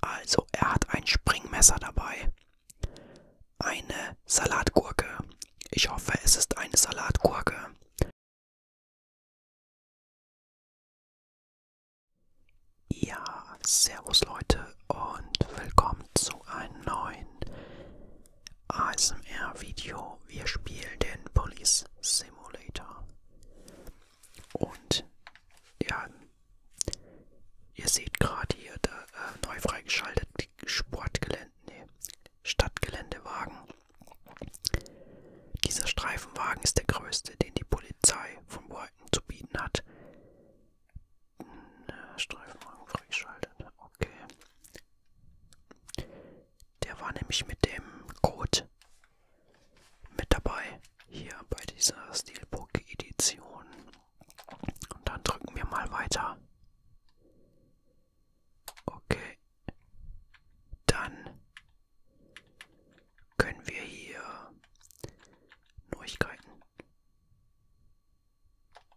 Also er hat ein Springmesser dabei. Eine Salatgurke. Ich hoffe, es ist eine Salatgurke. Ja, servus Leute und willkommen zu einem neuen ASMR-Video. Wir spielen den Police Simulator. Und ja, Ihr seht gerade hier da, äh, neu freigeschaltet Sportgelände, nee, Stadtgeländewagen. Dieser Streifenwagen ist der größte, den die Polizei von Brighton zu bieten hat. Hm, äh, Streifenwagen freigeschaltet, okay. Der war nämlich mit dem Code mit dabei hier bei dieser Steelbook-Edition. Und dann drücken wir mal weiter. Okay. Dann können wir hier Neuigkeiten.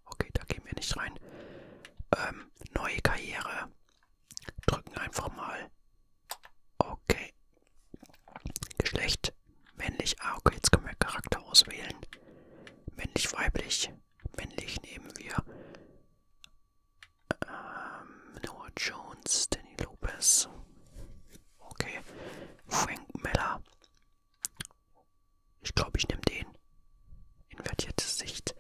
Okay, da gehen wir nicht rein. Ähm, neue Karriere. Drücken einfach mal. Okay, Geschlecht. Männlich. Ah, okay, jetzt können wir Charakter auswählen. Männlich, weiblich. Männlich nehmen wir ähm, Noah Jones, Danny Lopez. Okay. Frank Miller. Ich glaube, ich nehme den. Invertierte Sicht.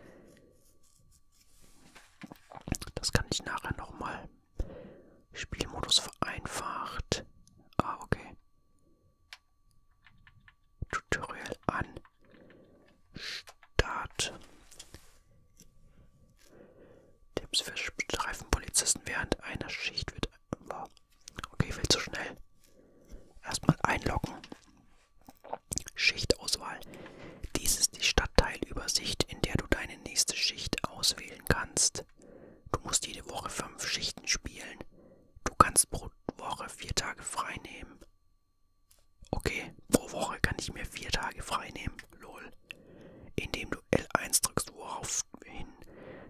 Das kann ich nachher nochmal Spielmodus vereinfacht. Ah, okay. Tutorial an. Start. Tipps für Streifenpolizisten während einer Schicht wird. Okay, viel zu schnell. Erstmal einloggen. Schichtauswahl. Dies ist die Stadt Stadtteilübersicht, in der du deine nächste Schicht auswählen kannst. Du musst jede Woche fünf Schichten spielen. Du kannst pro Woche vier Tage frei nehmen. Okay, pro Woche kann ich mir vier Tage frei nehmen. Lol. Indem du L1 drückst, woraufhin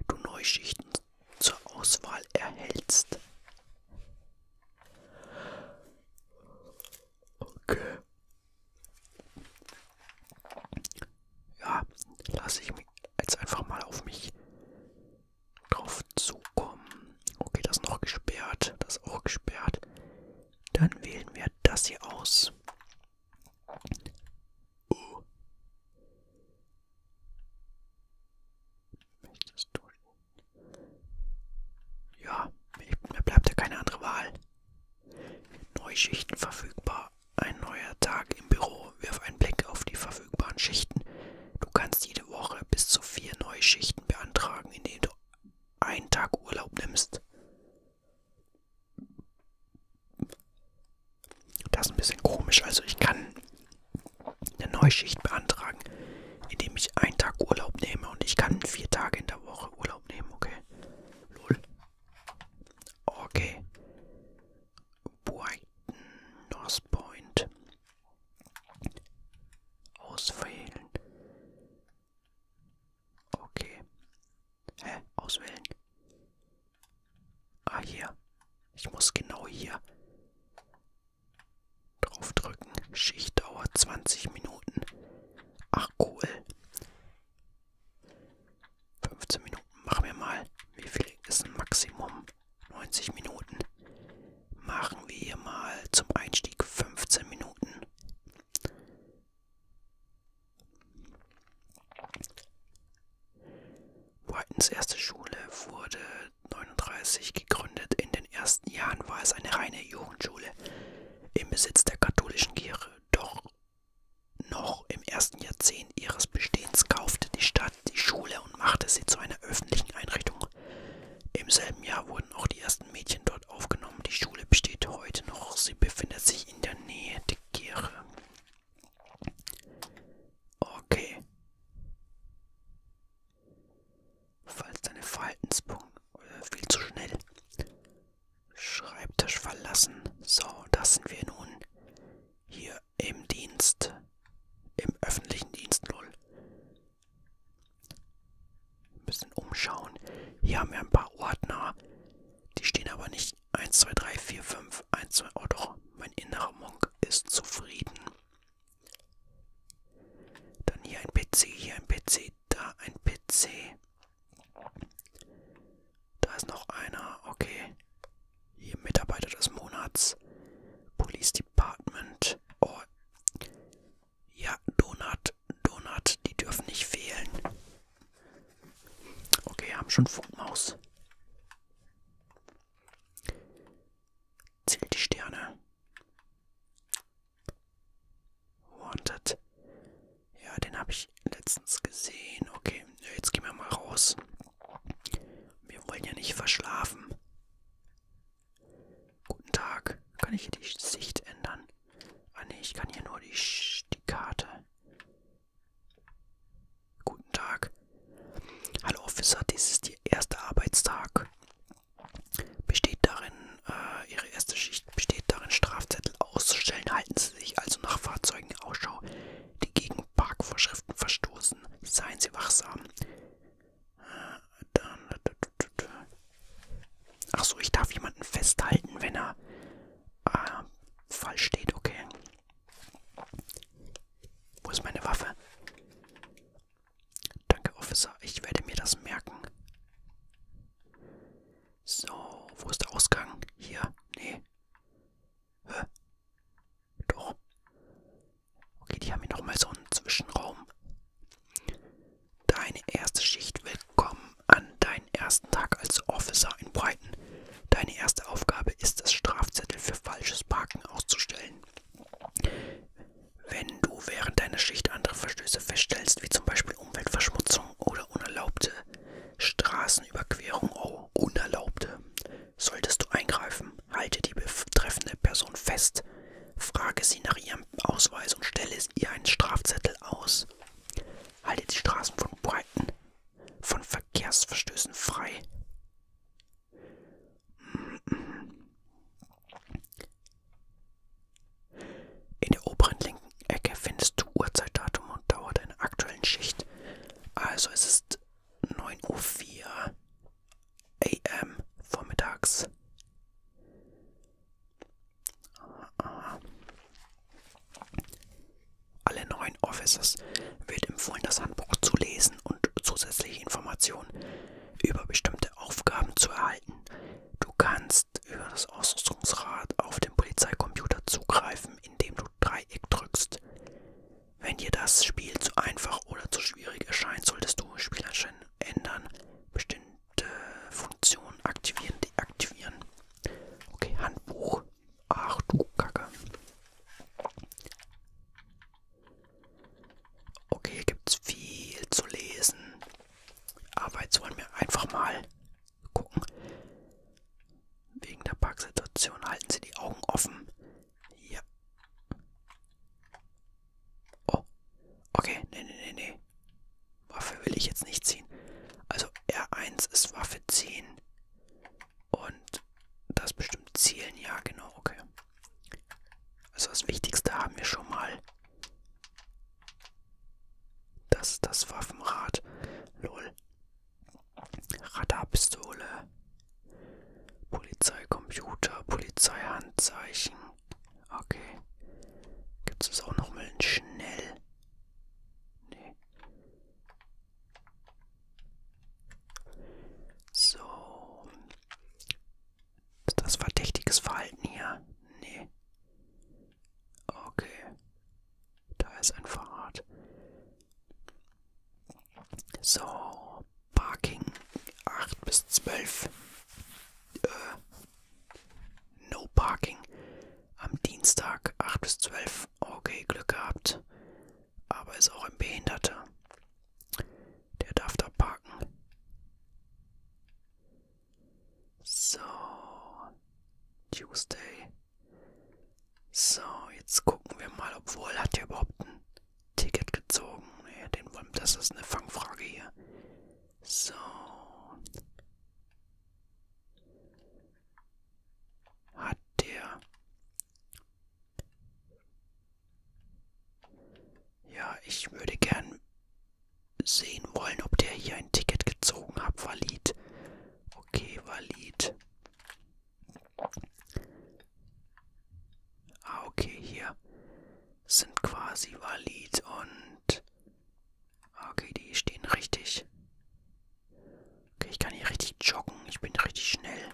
du Neuschichten zur Auswahl erhältst. Okay. Ja, lasse ich mich jetzt einfach mal auf mich drauf zukommen. Okay, das noch gesperrt, das auch gesperrt. Dann wählen wir das hier aus. Oh. Ja, mir bleibt ja keine andere Wahl. Neue Schichten verfügbar. Ein neuer Tag im Büro. Wirf einen Blick auf die verfügbaren Schichten. Du kannst jede Woche bis zu vier neue Schichten beantragen, indem du einen Tag Urlaub nimmst. Das ist ein bisschen komisch. Also ich kann eine Neuschicht beantragen, indem ich einen Tag Urlaub nehme und ich kann vier Tage in der Woche Urlaub nehmen, okay? Lol. Okay. Brighton, North Point. Auswählen. Okay. Hä? Auswählen. Ah, hier. Ich muss genau hier draufdrücken. Schichtdauer 20 Minuten. Ach cool. 15 Minuten machen wir mal. Wie viel ist ein Maximum? 90 Minuten. Machen wir hier mal zum Einstieg 15 Minuten. Whitens erste Schule wurde 39 gegründet. In den ersten Jahren war es eine reine Jugendschule im Besitz der katholischen Kirche doch noch im ersten Jahrzehnt ihres Bestehens kaufte die Stadt die Schule und machte sie zu einer öffentlichen Einrichtung. Im selben Jahr wurden auch die ersten Mädchen dort aufgenommen. Die Schule besteht heute noch. Sie befindet sich in der Nähe der Kirche. Okay. Falls deine Verhaltenspunkte äh, viel zu schnell. Schreibtisch verlassen. So, das sind wir nun hier im Dienst, im öffentlichen Dienst, lol. Ein bisschen umschauen. Hier haben wir ein paar Ordner. Die stehen aber nicht 1, 2, 3, 4, 5, 1, 2. Oh doch, mein innerer Monk ist zufrieden. Dann hier ein PC, hier ein PC, da ein PC. Da ist noch einer, okay. Hier Mitarbeiter des Monats. Police Department. Oh. Ja, Donut, Donut, die dürfen nicht fehlen. Okay, haben schon Funkmaus. Zählt die Sterne. Wanted. Ja, den habe ich letztens gesehen. Okay, jetzt gehen wir mal raus. Wir wollen ja nicht verschlafen. Guten Tag. Kann ich hier die Sicht ändern? Ah ne, ich kann hier nur die, die Karte. Guten Tag. Hallo Officer, dies ist Ihr erster Arbeitstag besteht darin, äh, ihre erste Schicht besteht darin, Strafzettel auszustellen. Halten Sie sich also nach Fahrzeugen Ausschau, die gegen Parkvorschriften verstoßen. Seien Sie wachsam. Äh, Ach so, ich darf jemanden festhalten, wenn er äh, falsch steht, okay. Wo ist meine Waffe? Danke, Officer. Ich werde mir das merken. So, wo ist der Ausgang? Hier? Nee. Hä? Doch. Okay, die haben hier nochmal so einen Zwischenraum. Deine erste Schicht. Willkommen an deinen ersten Tag als Officer in Brighton. Deine erste Aufgabe ist es, Strafzettel für falsches Parken auszustellen. Wenn du während deiner Schicht andere Verstöße feststellst, wie zum Beispiel Umweltverschmutzung oder unerlaubte Straßenüberquerung, oh, unerlaubte, solltest du eingreifen. Halte die betreffende Person fest, frage sie nach ihrem Ausweis und stelle ihr einen Strafzettel aus. Halte die Straßen von Breiten von Verkehrsverstößen frei. In der oberen linken Ecke findest du Uhrzeitdatum und Dauer deiner aktuellen Schicht. Also es ist 9.04 Uhr am vormittags. Alle neuen Offices wird empfohlen, das Handbuch zu lesen und zusätzliche Informationen über bestimmte Aufgaben zu erhalten, Du kannst über das Ausrüstungsrad auf den Polizeicomputer zugreifen, indem du Dreieck drückst. Wenn dir das Spiel zu einfach oder zu schwierig erscheint, solltest du Spieleinstellungen ändern, bestimmte Funktionen aktivieren, deaktivieren. Okay, Handbuch. Ach du Kacke. Okay, hier gibt es viel zu lesen. Aber jetzt wollen wir einfach mal gucken. Wegen der Parksituation halten Sie die Augen offen. Ja. Oh. Okay, nee, nee, nee, nee. Waffe will ich jetzt nicht ziehen. Also R1 ist Waffe ziehen. Und das bestimmt Zielen, ja, genau, okay. Also das Wichtigste haben wir schon mal. Das ist das Waffenrad. Lol. Radarpistole. Polizeicomputer. Polizeihandzeichen. Okay. Gibt es auch nochmal ein Schnell? Nee. So. Ist das verdächtiges Verhalten hier? Nee. Okay. Da ist ein Fahrrad. So, Parking 8 bis 12. Äh, no Parking. Am Dienstag 8 bis 12. Okay, Glück gehabt. Aber ist auch ein Behinderter. Der darf da parken. So. Tuesday. So, jetzt gucken wir mal, obwohl hat der überhaupt ein Ticket gezogen. Nee, den wollen, das ist eine Fangfrage hier. So. Hat der ja, ich würde gern sehen wollen, ob der hier ein Ticket gezogen hat. Valid. Okay, valid. Ah, okay, hier sind quasi valid und... Ah, okay, die stehen richtig. Okay, ich kann hier richtig joggen. Ich bin richtig schnell.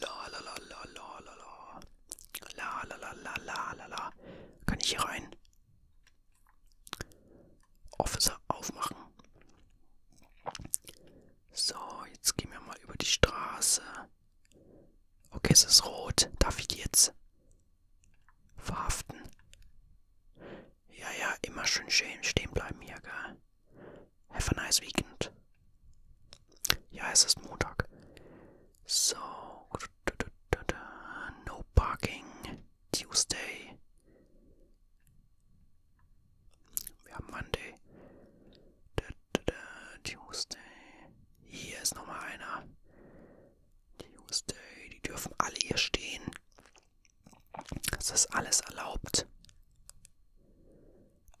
La la la la la la la. La la la la la la la. Kann ich hier rein? Officer aufmachen. So, jetzt gehen wir mal über die Straße. Okay, es ist rot. Darf ich die jetzt verhaften? Ja, ja, immer schön stehen bleiben hier, gell? Have a nice weekend. Ja, es ist Montag. So. No parking. Tuesday. Wir haben Monday. Tuesday. Hier ist nochmal einer. Tuesday. Die dürfen alle hier stehen. Es ist alles erlaubt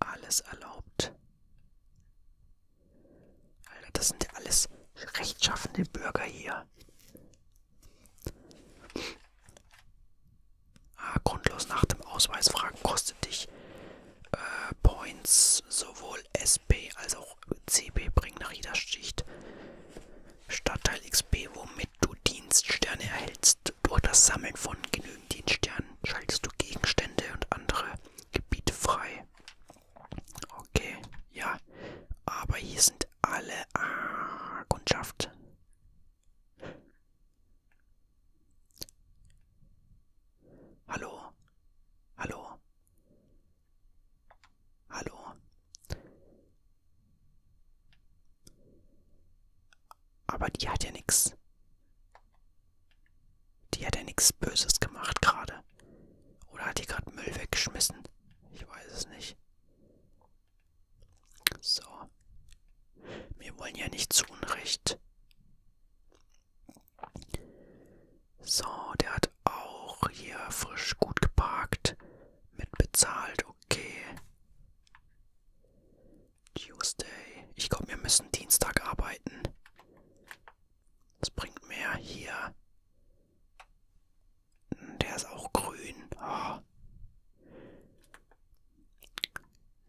alles erlaubt. Alter, das sind ja alles rechtschaffende Bürger hier. Ah, grundlos nach dem Ausweis fragen kostet dich äh, Points. Sowohl SP als auch CB bringen nach jeder Schicht Stadtteil XP, womit du Dienststerne erhältst. Jetzt durch das Sammeln von genügend Dienststernen schaltest du Gegenstände und andere Gebiete frei. Okay, ja. Aber hier sind alle ah, Kundschaft. Hallo? Hallo? Hallo? Aber die hat ja nichts. Die hat ja nichts Böses gemacht gerade. Oder hat die gerade Müll weggeschmissen? Ich weiß es nicht. So. Wir wollen ja nicht zu Unrecht. So, der hat auch hier frisch gut geparkt. Mit bezahlt, okay. Tuesday. Ich glaube, wir müssen Dienstag arbeiten. Das bringt mehr hier. Der ist auch grün. Oh.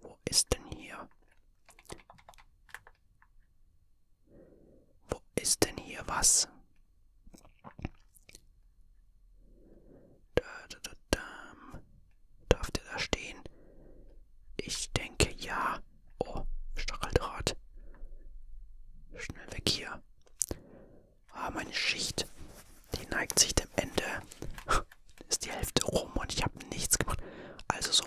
Wo ist denn hier? Wo ist denn hier was? Da, da, da, Darf der da stehen? Ich denke ja. Oh, Stacheldraht. Schnell weg hier. Ah, meine Schicht. Die neigt sich dem Ende. Ist die Hälfte rum und ich habe nichts gemacht. Also so.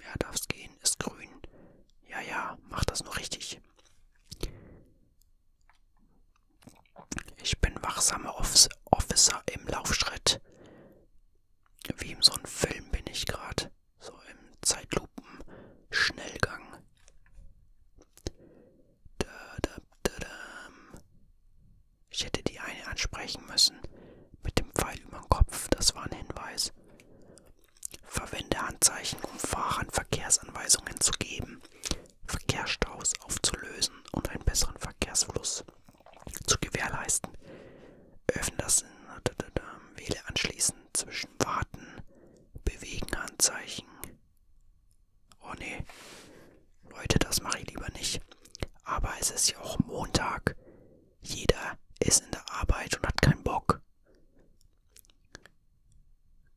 Ja, darf's gehen. Ist grün. Ja, ja, mach das nur richtig. Ich bin wachsamer Officer im Laufschritt. Wie in so einem Film bin ich gerade. So im Zeitlupen-Schnellgang. Ich hätte die eine ansprechen müssen. Mit dem Pfeil über den Kopf, das war ein Hinweis. Verwende Handzeichen, um Fahrern Verkehrsanweisungen zu geben. Verkehrsstaus aufzulösen und einen besseren Verkehrsfluss zu gewährleisten, öffnen das wähle anschließend zwischen Warten, Bewegen, Handzeichen. Oh nee, Leute, das mache ich lieber nicht. Aber es ist ja auch Montag. Jeder ist in der Arbeit und hat keinen Bock.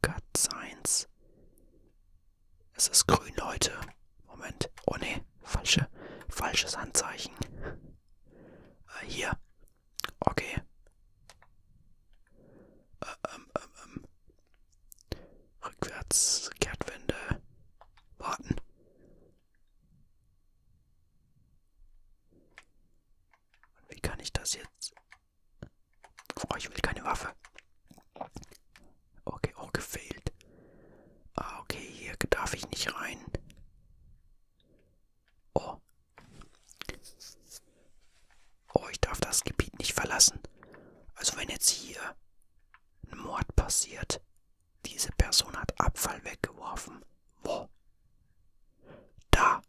Cut Science. Es ist grün heute. Moment. Oh ne, falsche, falsches Handzeichen. Äh, hier. Okay. Äh, ähm, ähm, ähm. Rückwärts, Kehrtwende. Warten. Und wie kann ich das jetzt? Oh, ich will keine Waffe. Okay, auch oh, gefehlt. Ah, okay, hier darf ich nicht rein. Oh. Oh, ich darf das Gebiet nicht verlassen. Also wenn jetzt hier ein Mord passiert, diese Person hat Abfall weggeworfen. Wo? Da.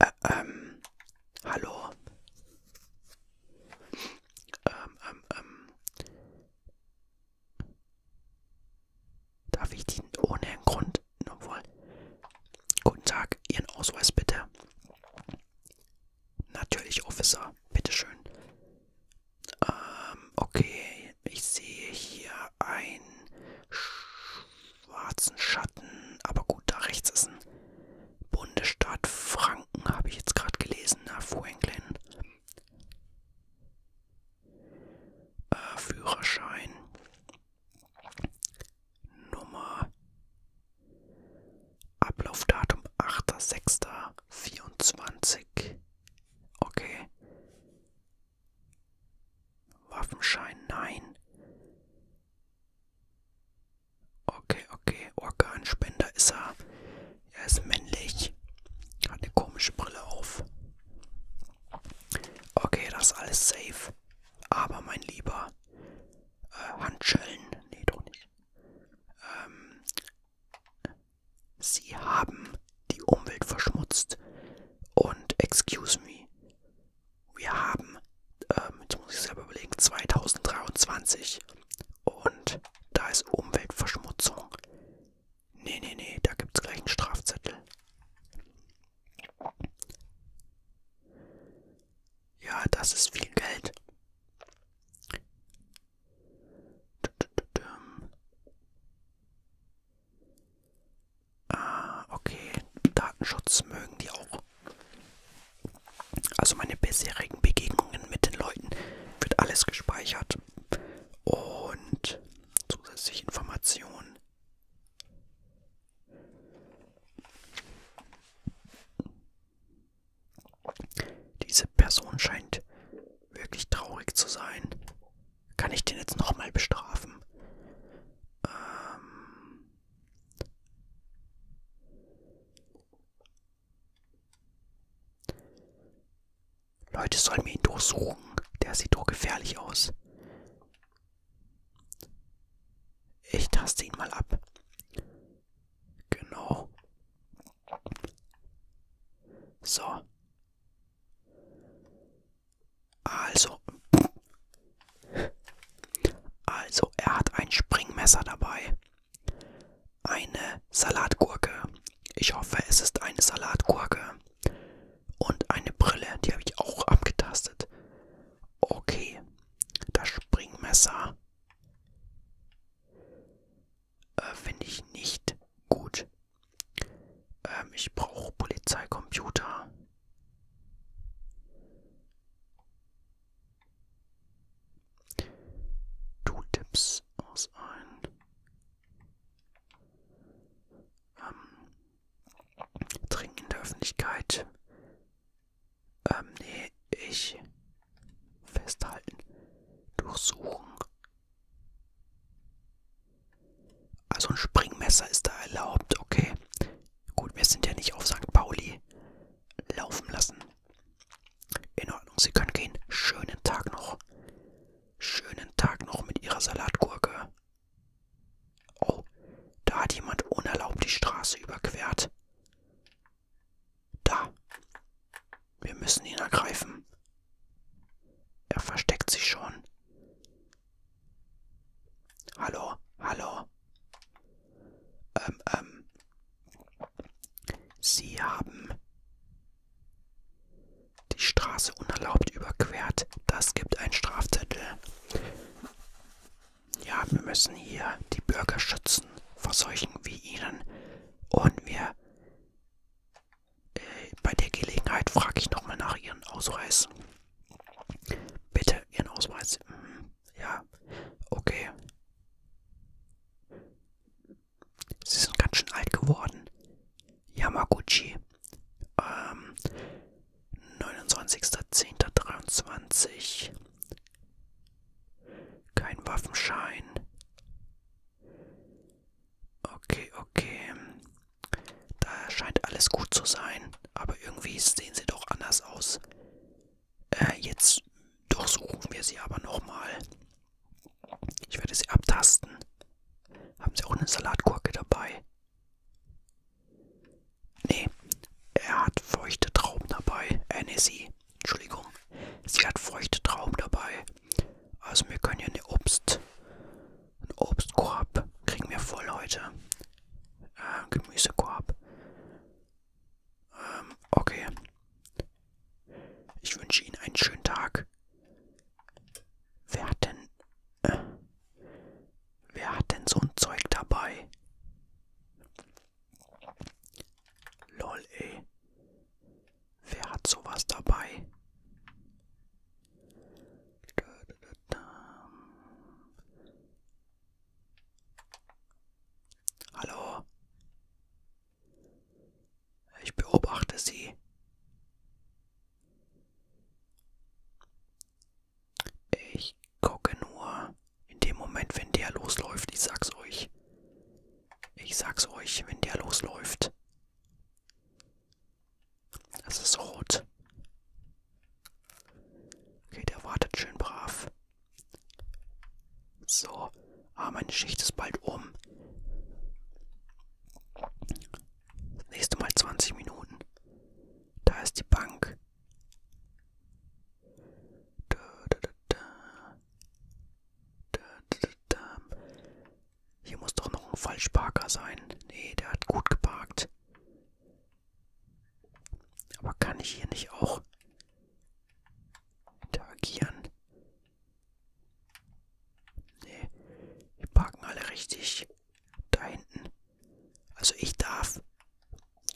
Ä äh, ähm, hallo? Ähm, ähm, ähm. Darf ich die ohne einen Grund? Obwohl. Guten Tag, Ihren Ausweis bitte. Natürlich, Officer. Bitteschön. Ähm, okay. Ich sehe hier ein schwarzen Schatten, aber gut, da rechts ist ein Bundesstaat Franken, habe ich jetzt gerade gelesen, na, Franklin. Äh, Führerschein. Nummer. Ablaufdatum 8.6.24. Okay. Waffenschein, nein. Okay, okay. Organspender ist er. Er ist männlich. Hat eine komische Brille auf. Okay, das ist alles safe. Aber mein lieber äh, Handschellen. Nee, doch nicht. Ähm, sie haben die Umwelt verschmutzt. Und excuse me. Wir haben, ähm, jetzt muss ich selber überlegen, 2023 und da ist Umweltverschmutzung. Nee, nee, nee, da gibt es gleich einen Strafzettel. Ja, das ist viel Geld. Ah, okay. Datenschutz mögen die auch. Also meine bisherigen Begegnungen mit den Leuten wird alles gespeichert. Und zusätzliche Informationen. Diese Person scheint wirklich traurig zu sein. Kann ich den jetzt nochmal bestrafen? Ähm, Leute sollen mir ihn durchsuchen. Der sieht doch gefährlich aus. Ich taste ihn mal ab. Genau. So. Also. Also, er hat ein Springmesser dabei. Eine Salatgurke. Ich hoffe, es ist eine Salatgurke. Und eine Brille, die habe ich auch abgetastet. Okay, das Springmesser äh, finde ich nicht gut. Ähm, ich brauche Polizeicomputer. Du tippst aus ein ähm, Trinken in der Öffentlichkeit. Ähm, nee, ich festhalten, durchsuchen. Also ein Springmesser ist da erlaubt, okay. Gut, wir sind ja nicht auf St. Pauli laufen lassen. In Ordnung, Sie können gehen. Schönen Tag noch. Schönen Tag noch mit Ihrer Salatgurke. Oh, da hat jemand unerlaubt die Straße überquert. Da. Wir müssen ihn ergreifen. Er versteckt sich schon. Hallo, hallo. Ähm, ähm. Sie haben die Straße unerlaubt überquert. Das gibt einen Strafzettel. Ja, wir müssen hier die Bürger schützen vor solchen wie Ihnen. Und wir... Äh, bei der Gelegenheit frage ich nochmal nach Ihren Ausweis. Bitte Ihren Ausweis. Mhm. Ja, okay. Sie sind ganz schön alt geworden. Yamaguchi. Ähm, 29.10.23. Kein Waffenschein. Okay, okay. Da scheint alles gut zu sein, aber irgendwie sehen sie doch anders aus. Äh, jetzt durchsuchen wir sie aber nochmal. Ich werde sie abtasten. Haben sie auch eine Salatgurke dabei? Nee, er hat feuchte Trauben dabei. Äh, nee, sie. Entschuldigung. Sie hat feuchte Trauben dabei. Also wir können ja eine Obst, ein Obstkorb kriegen wir voll heute. Äh, Gemüsekorb. Ähm, okay. Ich wünsche Ihnen einen schönen Tag. Wer hat denn. Äh, wer hat denn so ein Zeug dabei? Lol, ey. Wer hat sowas dabei? Da, da, da, da. Hallo. Ich beobachte Sie. Ich gucke nur in dem Moment, wenn der losläuft. Ich sag's euch. Ich sag's euch, wenn der losläuft. Das ist rot. Okay, der wartet schön brav. So. Ah, meine Schicht ist bald um. Das nächste Mal 20 Minuten. Da ist die Bank. Da, da, da, da. Da, da, da, da. Hier muss doch noch ein Falschparker sein. Nee, der hat gut geparkt. Aber kann ich hier nicht auch interagieren? Nee, die parken alle richtig. Da hinten. Also ich darf.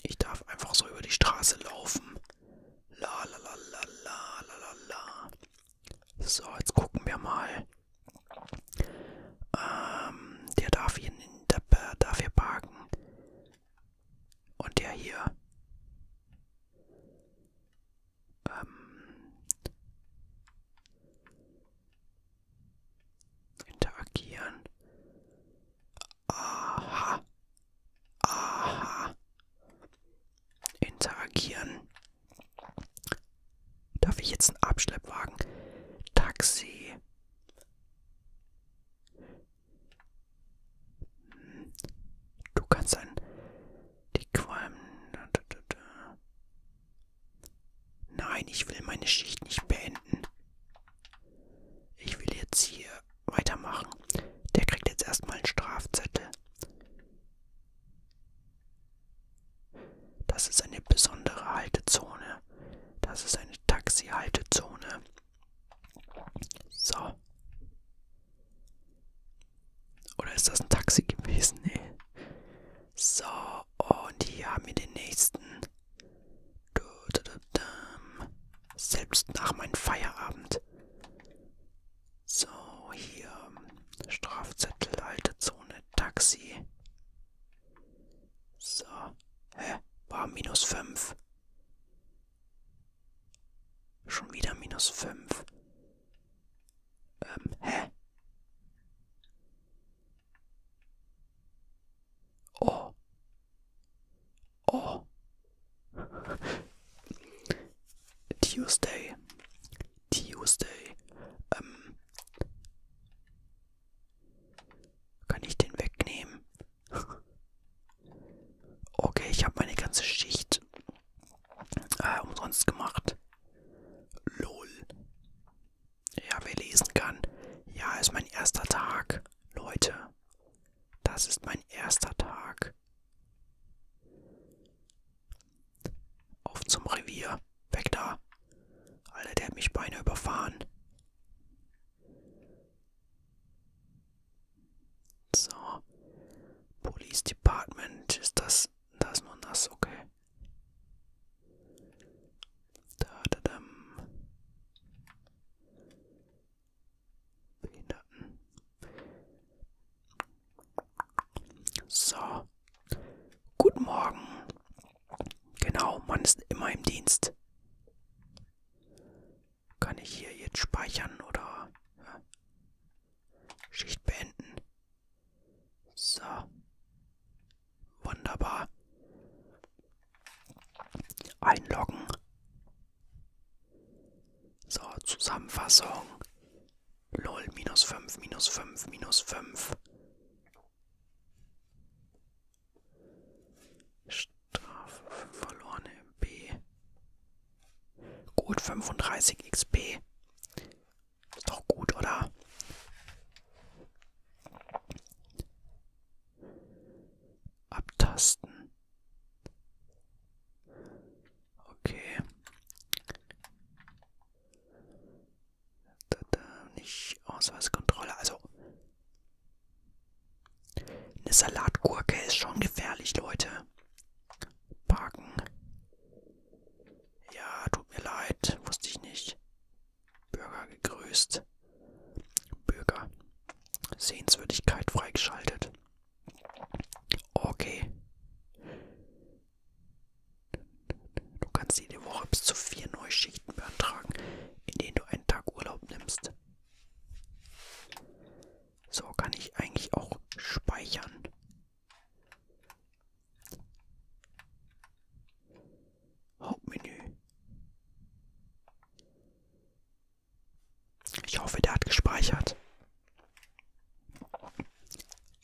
Ich darf einfach so über die Straße laufen. La la la la la la la la. So, jetzt gucken wir mal. Ähm, der darf hier, in der, darf hier parken. Und der hier. Ähm, interagieren. Aha. Aha. Interagieren. Darf ich jetzt einen Abschleppwagen? Taxi. Du kannst ein. Die Qualm. Nein, ich will meine Schicht nicht beenden. Ich will jetzt hier weitermachen. Der kriegt jetzt erstmal einen Strafzettel. Das ist eine besondere Haltezone. Das ist eine Taxi-Haltezone. So. Oder ist das ein Taxi gewesen? Nee. So, und hier haben wir den nächsten. Selbst nach meinem Feierabend. So, hier. Strafzettel, alte Zone, Taxi. So. Hä? War minus 5. Schon wieder minus 5. Ähm, hä? Oh. Oh. Tuesday. Tuesday. Ähm, kann ich den wegnehmen? okay, ich habe meine ganze Schicht äh, umsonst gemacht. Lol. Ja, wer lesen kann. Ja, ist mein erster Tag, Leute. Das ist mein erster Tag. Auf zum Revier. Weg da. Alter, der hat mich beinahe überfahren. So. Police Department. Ist das. Da ist nur nass, okay. Da, da, da. Behinderten. So. Guten Morgen. Genau, man ist immer im Dienst. Kann ich hier jetzt speichern oder ja. Schicht beenden? So. Wunderbar. Einloggen. So, Zusammenfassung. Lol, minus fünf, minus fünf, minus fünf. Strafe für verlorene B. Gut, 35 XP. Ist doch gut, oder? Abtasten. Okay. Da, da, nicht Ausweiskontrolle. Also. Eine Salatgurke ist schon gefährlich, Leute. Parken. Ja, tut mir leid. Wusste ich nicht. Bürger gegrüßt. Bürger. Sehenswürdigkeit freigeschaltet. Okay. Du kannst jede Woche bis zu vier neue Schichten beantragen, in denen du einen Tag Urlaub nimmst. So kann ich eigentlich auch speichern. Hauptmenü. Ich hoffe, der hat gespeichert.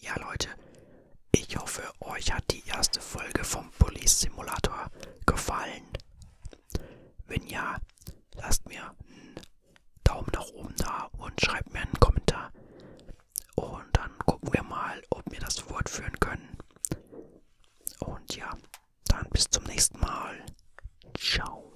Ja, Leute, ich hoffe, euch hat die erste Folge vom Police Simulator gefallen. Wenn ja, lasst mir einen Daumen nach oben da und schreibt mir einen Kommentar. Und dann gucken wir mal, ob wir das fortführen können. Und ja, dann bis zum nächsten Mal. Ciao.